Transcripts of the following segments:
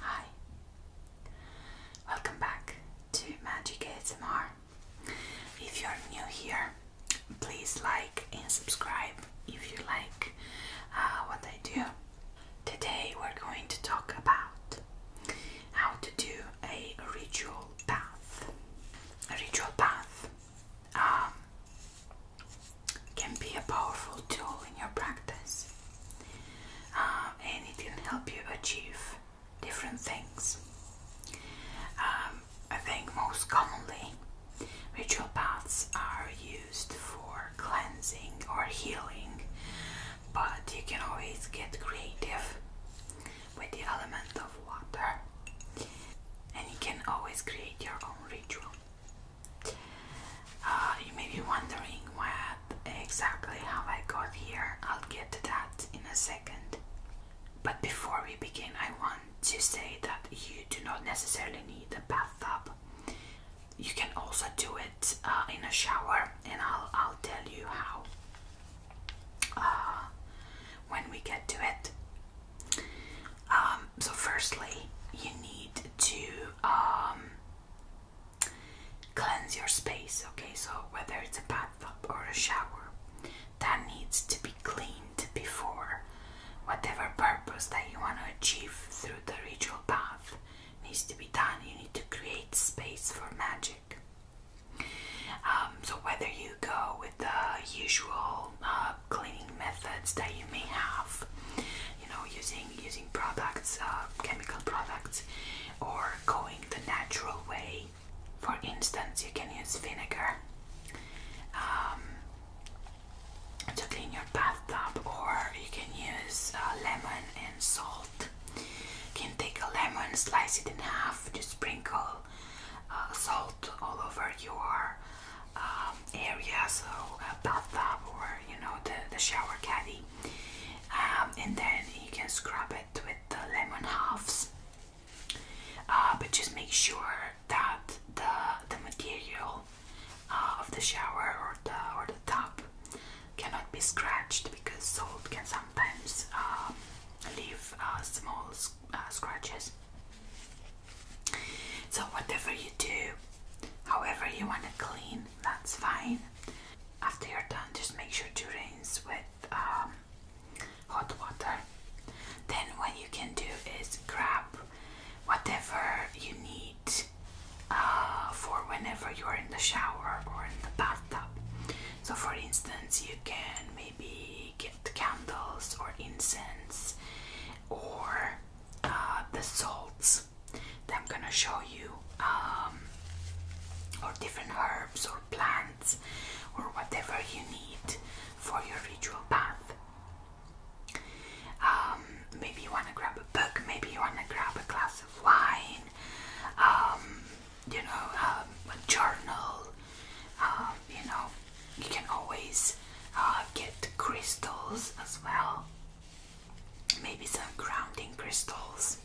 Hi, welcome back to Magic ASMR. If you're new here, please like and subscribe if you like uh, what I do. Today we're going to talk about how to do a ritual bath. A ritual bath um, can be a powerful tool in your practice. Uh, and it can help you achieve different things. Um, I think most commonly, ritual paths are used for cleansing or healing, but you can always get creative with the element of water, and you can always create your own ritual. Uh, you may be wondering what exactly how I got here. I'll get to that in a second. But before we begin, I want to say that you do not necessarily need a bathtub. You can also do it uh, in a shower, and I'll I'll tell you how uh, when we get to it. Um, so, firstly, you need to um, Cleanse your space, okay? So, whether it's a bathtub or a shower, that needs to be cleaned before whatever purpose that you want to achieve through the ritual bath needs to be done. You need to create space for magic. Um, so, whether you go with the usual uh, cleaning methods that you may have, you know using using products uh, chemical products or going the natural way for instance you can use vinegar um, to clean your bathtub or you can use uh, lemon and salt you can take a lemon slice it in half just sprinkle uh, salt all over your um, area, so bathtub or you know the, the shower caddy, um, and then you can scrub it with the lemon halves. Uh, but just make sure that the the material uh, of the shower or the or the tub cannot be scratched because salt can sometimes um, leave uh, small scratches. So, whatever you do, however you want to clean, that's fine. After you're done, just make sure to rinse with um, hot water. Then, what you can do is grab whatever you need uh, for whenever you are in the shower or in the bathtub. So, for instance, you can maybe get candles or incense or uh, the salts that I'm gonna show you, um, or different herbs or plants or whatever you need for your ritual bath. Um, maybe you wanna grab a book, maybe you wanna grab a glass of wine, um, you know, a journal, you know, you can always uh, get crystals as well, maybe some grounding crystals.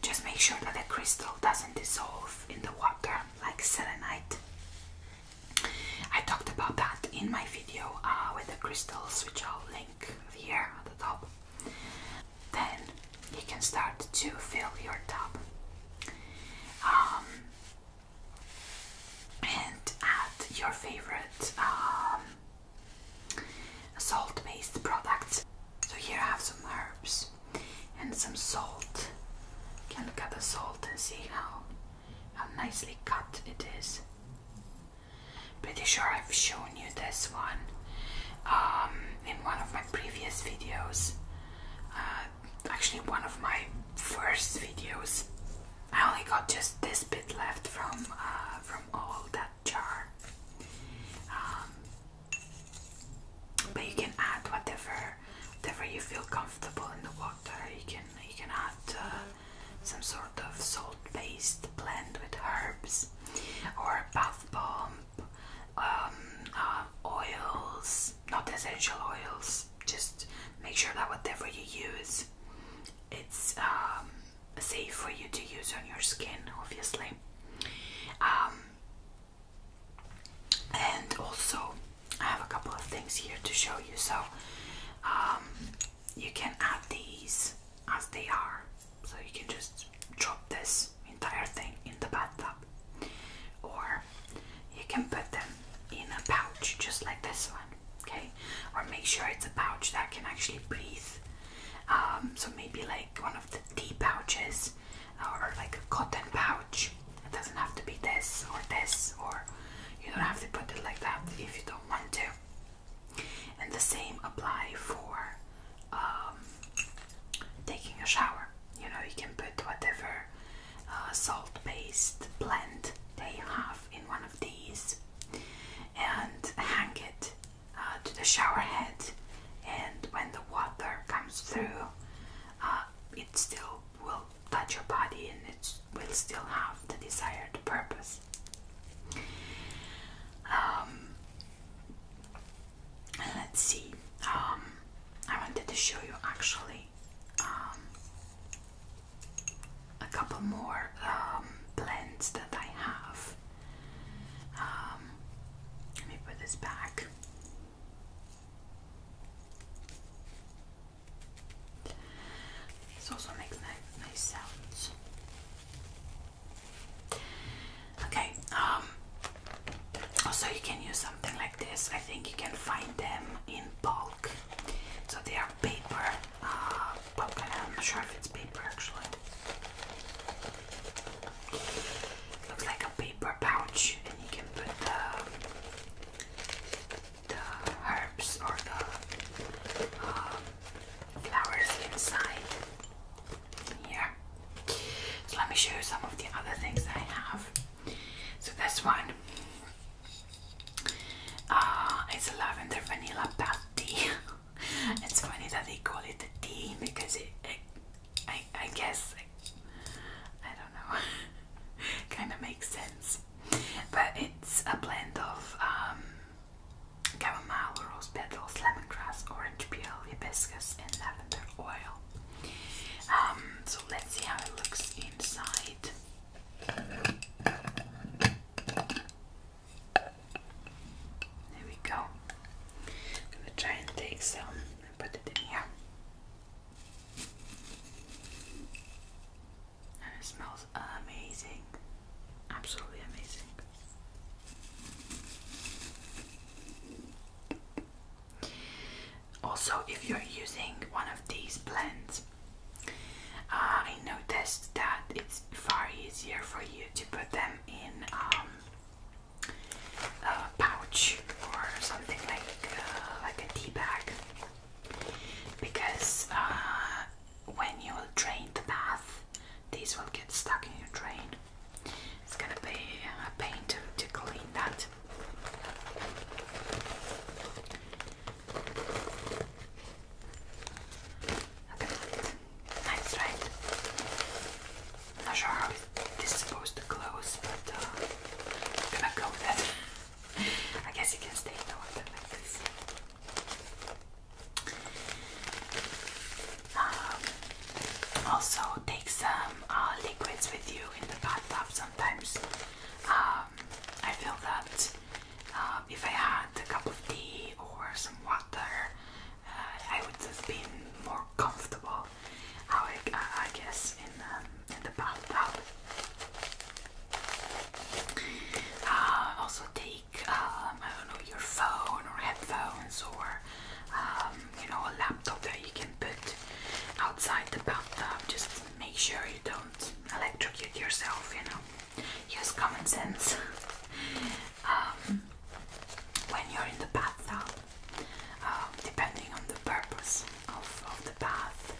Just make sure that the crystal doesn't dissolve in the water like selenite. I talked about that in my video uh, with the crystals, which I'll link here at the top. Then you can start to fill your tub. Um, and add your favorite um, salt based product. So, here I have some herbs and some salt. can look at the salt and see how, how nicely cut it is. Pretty sure I've shown you this one um, in one of my previous videos. Uh, actually, one of my first videos. I only got just this bit left from uh, from all that jar. Um, but you can add whatever, whatever you feel comfortable in the water. You can you can add uh, some sort of salt paste blend with herbs, or bath bomb, um, uh, oils, not essential oils just make sure that whatever you use it's um, safe for you to use on your skin obviously um, and also I have a couple of things here to show you so um, you can add these as they are so you can just drop this entire thing in the bathtub or you can put them in a pouch just like this one, okay? Or make sure it's a pouch that can actually breathe. Um, so maybe like one of the tea pouches uh, or like a cotton pouch. It doesn't have to be this or this, or you don't have to put it like that if you don't want to. And the same apply for um, taking a shower. You know, you can put whatever uh, salt based blend they have in one of these and hang it uh, to the shower head and when the water comes through uh, it still will touch your body and it will still have the desired purpose um, let's see um, I wanted to show you actually um, a couple more um, blends that I have. Um, let me put this back. This also makes nice, nice sounds. Okay. also, um, you can use something like this. I think you can find them in bulk. So they are paper, uh, but I'm not sure if it's paper actually. Looks like a paper pouch, and you can put the, herbs or the uh, flowers inside here. let me show you some of the other things I have. So this one uh, is lavender vanilla bath tea. it's funny that they call it a tea because it, I, I guess, I, don't know, kind of makes sense. But it's a blend of um, chamomile, rose petals, lemongrass, orange peel, hibiscus, and lavender oil. Um, so let's see how it looks inside. There we go. I'm gonna try and take some and put it in here. And it smells amazing. Absolutely amazing. Also, if you're using one of these blends, uh, I noticed that it's far easier for you to put them in um, a pouch or something like uh, like a tea bag, because uh, when you will drain the bath, these will get stuck in your drain. It's gonna be a pain to, to clean that. Look at right? not sure how this supposed to close, but uh, gonna go with it. I guess you can stay the water like this. Um, also, take some uh, liquids with you in the bathtub sometimes. Um, I feel that uh, if I had a cup of tea or some water, uh, I would have been more comfortable, I, guess, in, um, the bathtub. also, take um, I don't know your phone or headphones or you know, a laptop that you can put outside the bathtub. Just make sure you don't electrocute yourself, you know. Use common sense. Um, when you're in the bathtub, um, depending on the purpose of, of the bath,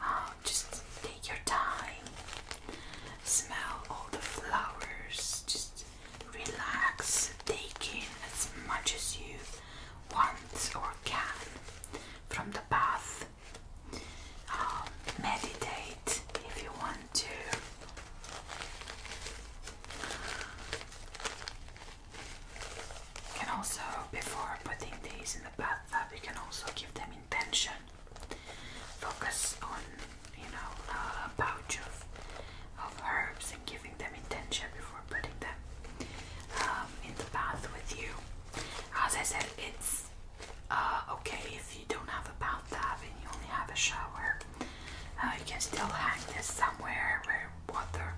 um, just take your time, smell all the flowers, just relax, take in as much as you want or can from the bath. Um, meditate if you want to. You can also, before putting these in the bathtub, you can also give them intention. Focus on, you know, a pouch of herbs giving them intention before putting them um, in the bath with you. As I said, it's uh, okay if you don't have a bathtub and you only have a shower. Uh, you can still hang this somewhere where water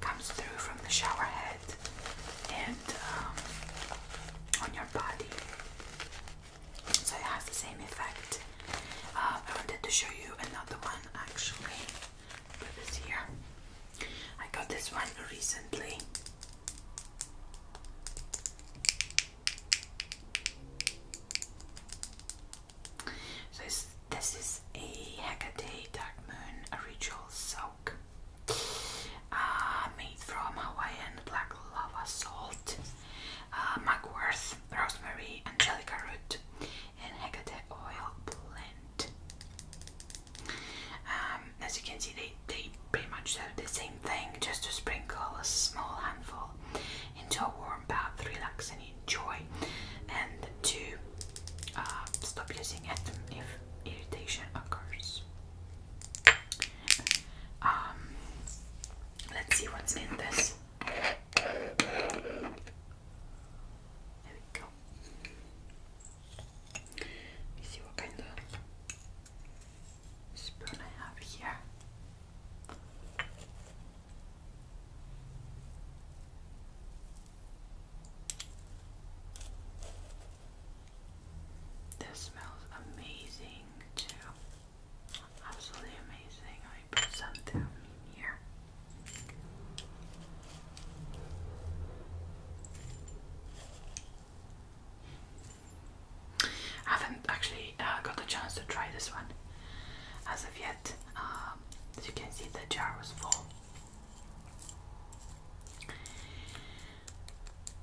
comes through from the shower head and um, on your body. So it has the same effect. Uh, I wanted to show you another one actually this here. I got this one recently. So this, this is a Hecate Dark Moon original Ritual Soak uh, made from Hawaiian black lava salt, uh, mugwort, rosemary, angelica root, and Hecate Oil Blend. Um, as you can see, they, they pretty much do the same thing, just to sprinkle a small handful into a warm bath, relax and enjoy, and to uh, stop using it if irritation occurs. Um, let's see what's in this. There we go. Let me see what kind of spoon I have here. This smells amazing too. Absolutely amazing. I put some down here. haven't actually uh, got a chance to try this one as of yet. Um, as you can see, the jar was full.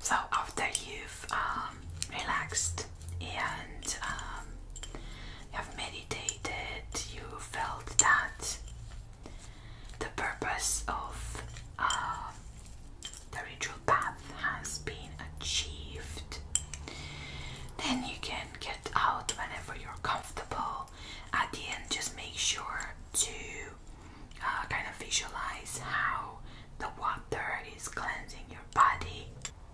So after you've um, relaxed and um, you've meditated, you felt that the purpose of uh, the ritual path has been achieved, then you can get out whenever you're comfortable. At the end, just make sure to uh, kind of visualize how the water is cleansing your body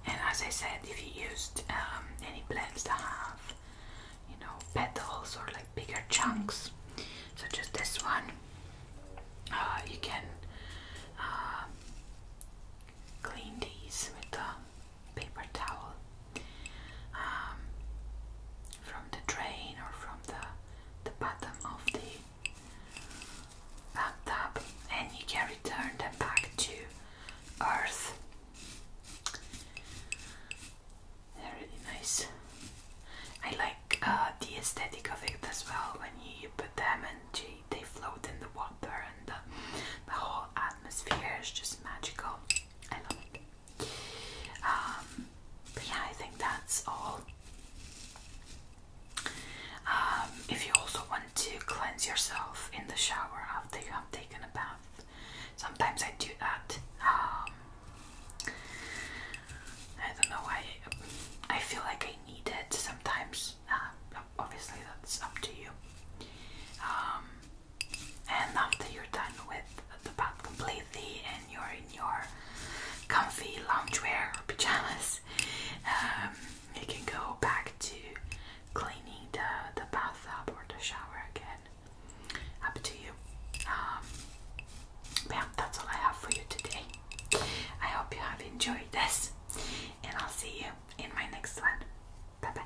and as I said, if you used um, any plants that have, you know, petals or like bigger chunks, such as this one, uh, you can uh, clean these with the paper towel um, from the drain or from the the bottom of the up and you can return them back to earth really nice I like uh, the aesthetic effect as well when you put them and they float in the water and the, whole atmosphere is just magical I love um, but yeah I think that's all um, if you also want to cleanse yourself in the shower after you have taken a bath, sometimes I do that. Um, I don't know why I feel like I need it sometimes. Um, obviously, that's up to you. and after you're done with the bath completely and you're in your comfy loungewear or pajamas, you can go back to cleaning the, the bathtub or the shower again. Up to you. Um, that's all I have for you today. I hope you have enjoyed this, and I'll see you in my next one. Bye bye.